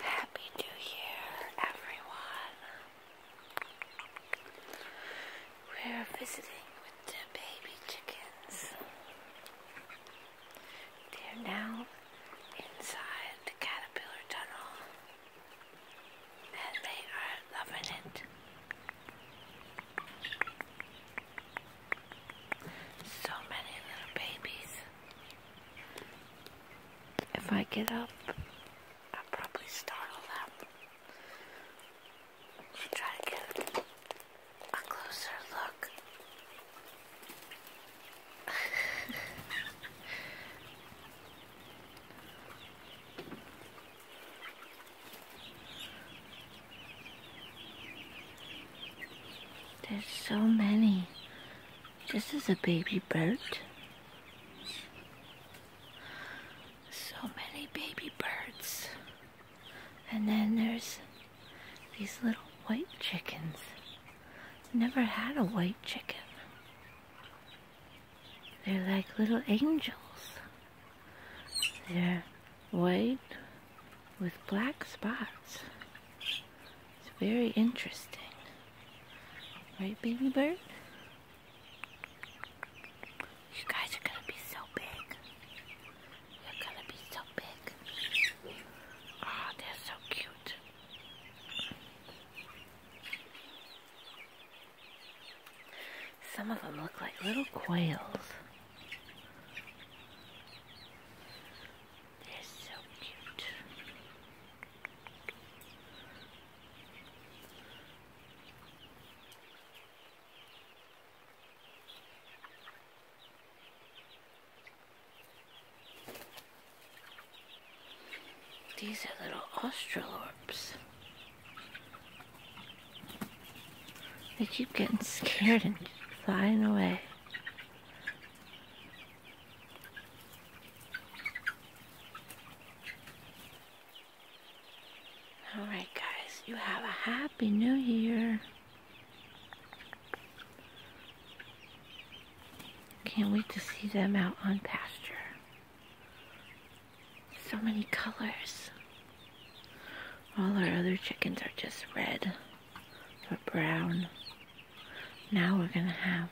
Happy New Year, everyone. We're visiting with the baby chickens. They're now inside the caterpillar tunnel and they are loving it. So many little babies. If I get up, I'll probably startle them. I'll try to get a closer look. There's so many. This is a baby bird. So many baby birds. And then there's these little white chickens. Never had a white chicken. They're like little angels. They're white with black spots. It's very interesting. Right, baby bird? You guys are gonna be so big. You're gonna be so big. Oh, they're so cute. Some of them look like little quails. They're so cute. These are little australophs. They keep getting scared and flying away. Alright guys, you have a happy new year. Can't wait to see them out on pasture. So many colors. All our other chickens are just red or brown. Now we're gonna have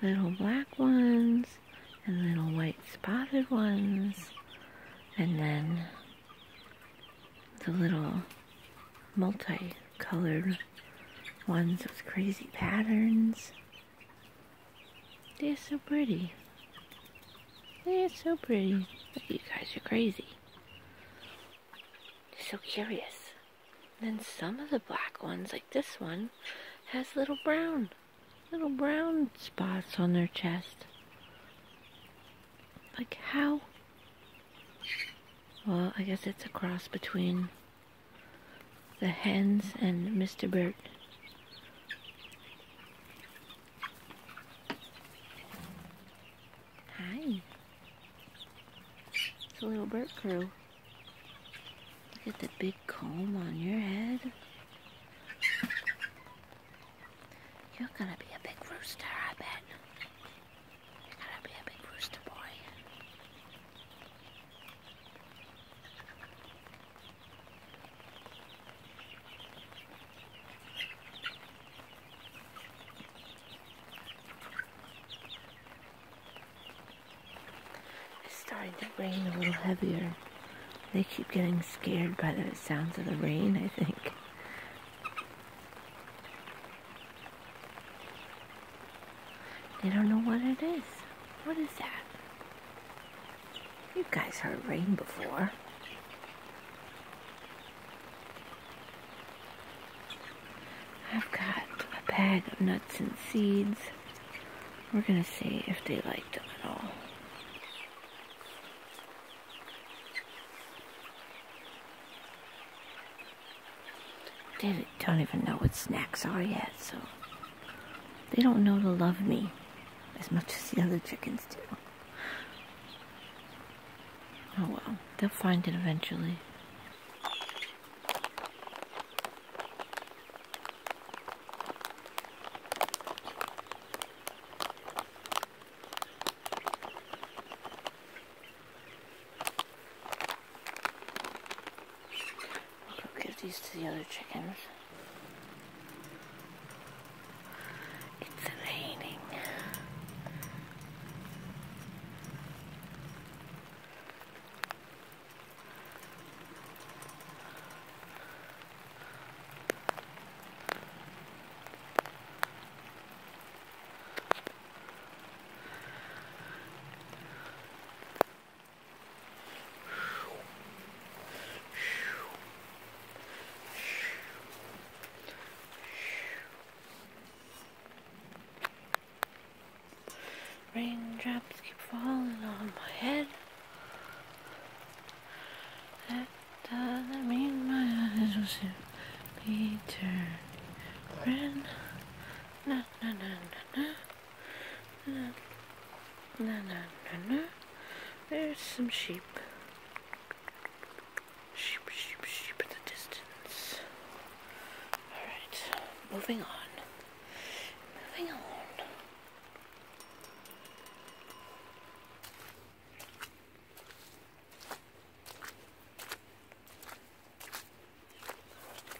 little black ones and little white spotted ones and then the little multi-colored ones with crazy patterns. They're so pretty. They're so pretty. But you guys are crazy. so curious. Then some of the black ones, like this one, has little brown, little brown spots on their chest. Like how? Well, I guess it's a cross between the hens and Mr. Bird. Hi. It's a little bird crew. Look at the big comb on your head. You're gonna be a big rooster, I bet. You're gonna be a big rooster boy. It's starting to rain a little heavier. They keep getting scared by the sounds of the rain, I think. They don't know what it is. What is that? You guys heard rain before. I've got a bag of nuts and seeds. We're gonna see if they like them at all. They don't even know what snacks are yet, so they don't know to love me as much as the other chickens do. Oh well, they'll find it eventually. I'll give these to the other chickens. It's raining. Raindrops keep falling on my head. That doesn't mean my eyes will soon be turned Na na na na na. No, no, no, no. There's some sheep. Sheep, sheep, sheep in the distance. Alright, moving on. Moving on.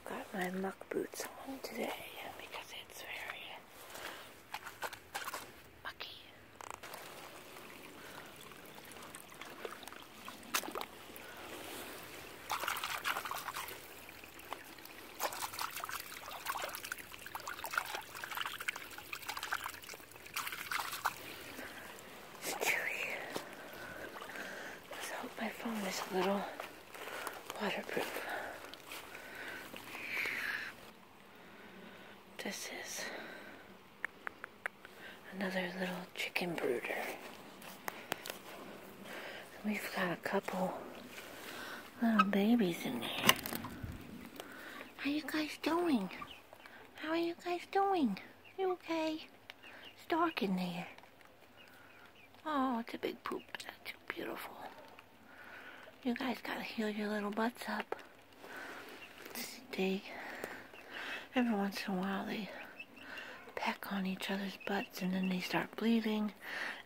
Got my muck boots on today because it's very Mucky. Chewy. So my phone is a little waterproof. This is another little chicken brooder. we've got a couple little babies in there. How you guys doing? How are you guys doing? You okay? It's dark in there. Oh, it's a big poop. That's beautiful. You guys gotta heal your little butts up. Dig. Every once in a while they peck on each other's butts and then they start bleeding.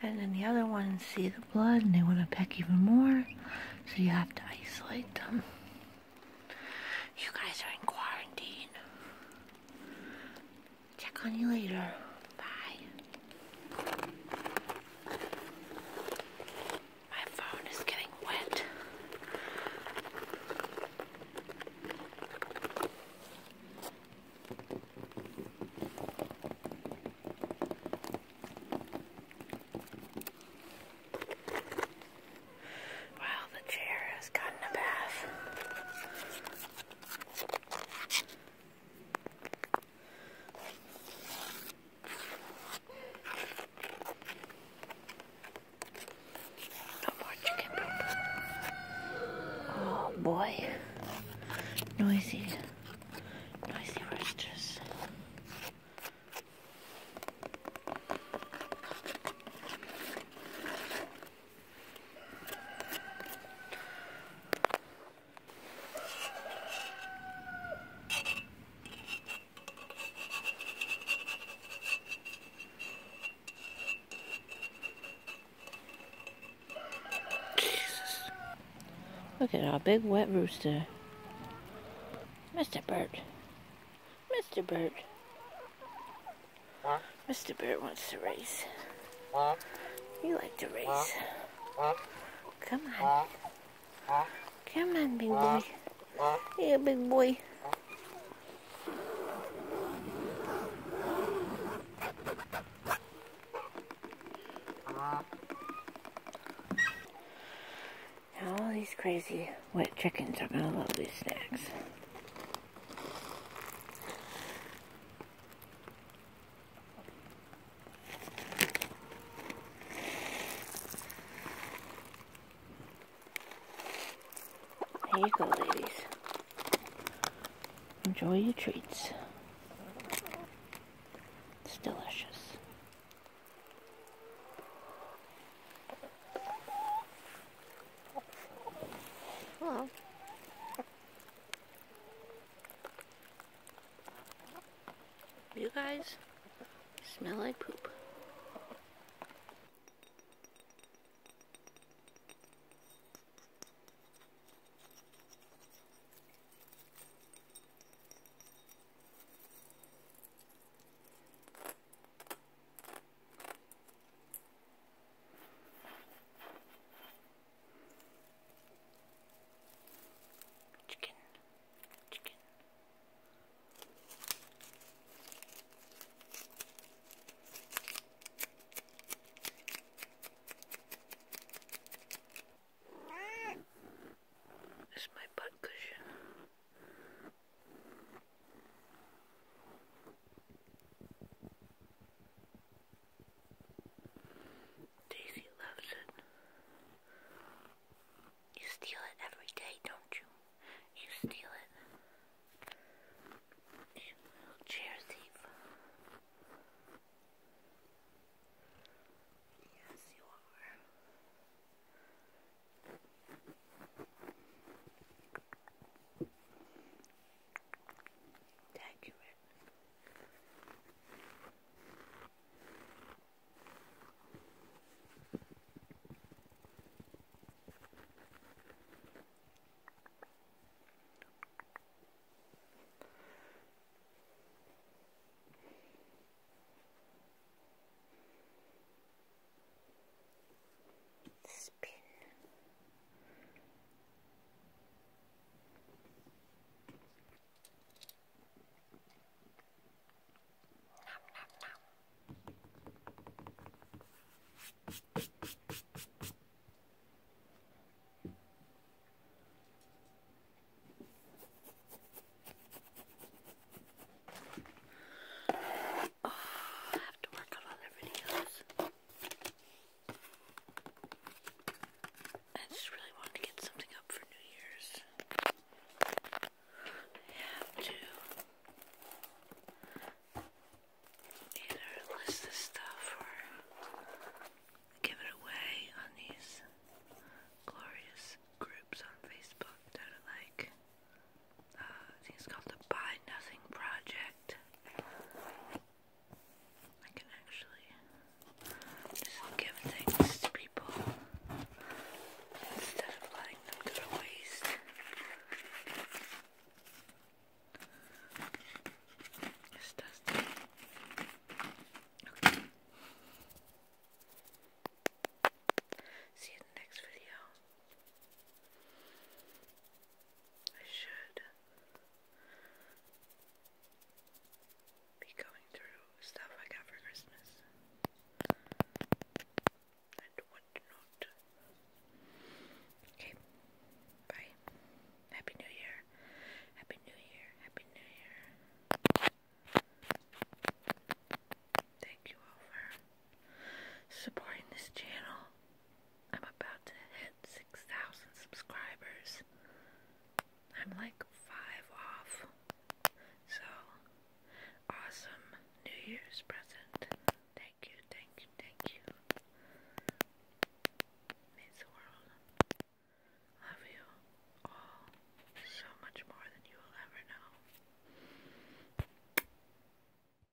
And then the other ones see the blood and they want to peck even more. So you have to isolate them. You guys are in quarantine. Check on you later. Bye. My phone is getting wet. Wow, the chair has gotten a bath. Oh boy. Noisy. Noisy roosters. Look at our big wet rooster. Mr. Bird. Mr. Bird. Mr. Bear wants to race. You like to race. Come on. Come on, big boy. Yeah, big boy. All these crazy wet chickens are going to love these snacks. There you go, ladies. Enjoy your treats. It's delicious. Hello. Hmm. You guys smell like poop. Chicken, chicken. This is my butt cushion. Daisy loves it. You steal it every day, don't you? You steal it. You little chair thief. Yes, you are accurate spin. Nom, Oh, I have to work on other videos. I just really wanted to get something up for New Year's. Have to either list this stuff or give it away on these glorious groups on Facebook that are like, uh, called the Buy Nothing Project perfect. I can actually give things to people instead of letting them to waste. See you in the next video. I should be going through stuff I got for Christmas. And what Okay. Bye. Happy New Year. Happy New Year. Happy New Year. Thank you all for supporting this channel. I'm about to hit 6,000 subscribers. I'm like five off. So, awesome New Year's present. Thank you, thank you, thank you. Means the world. Love you all so much more than you will ever know.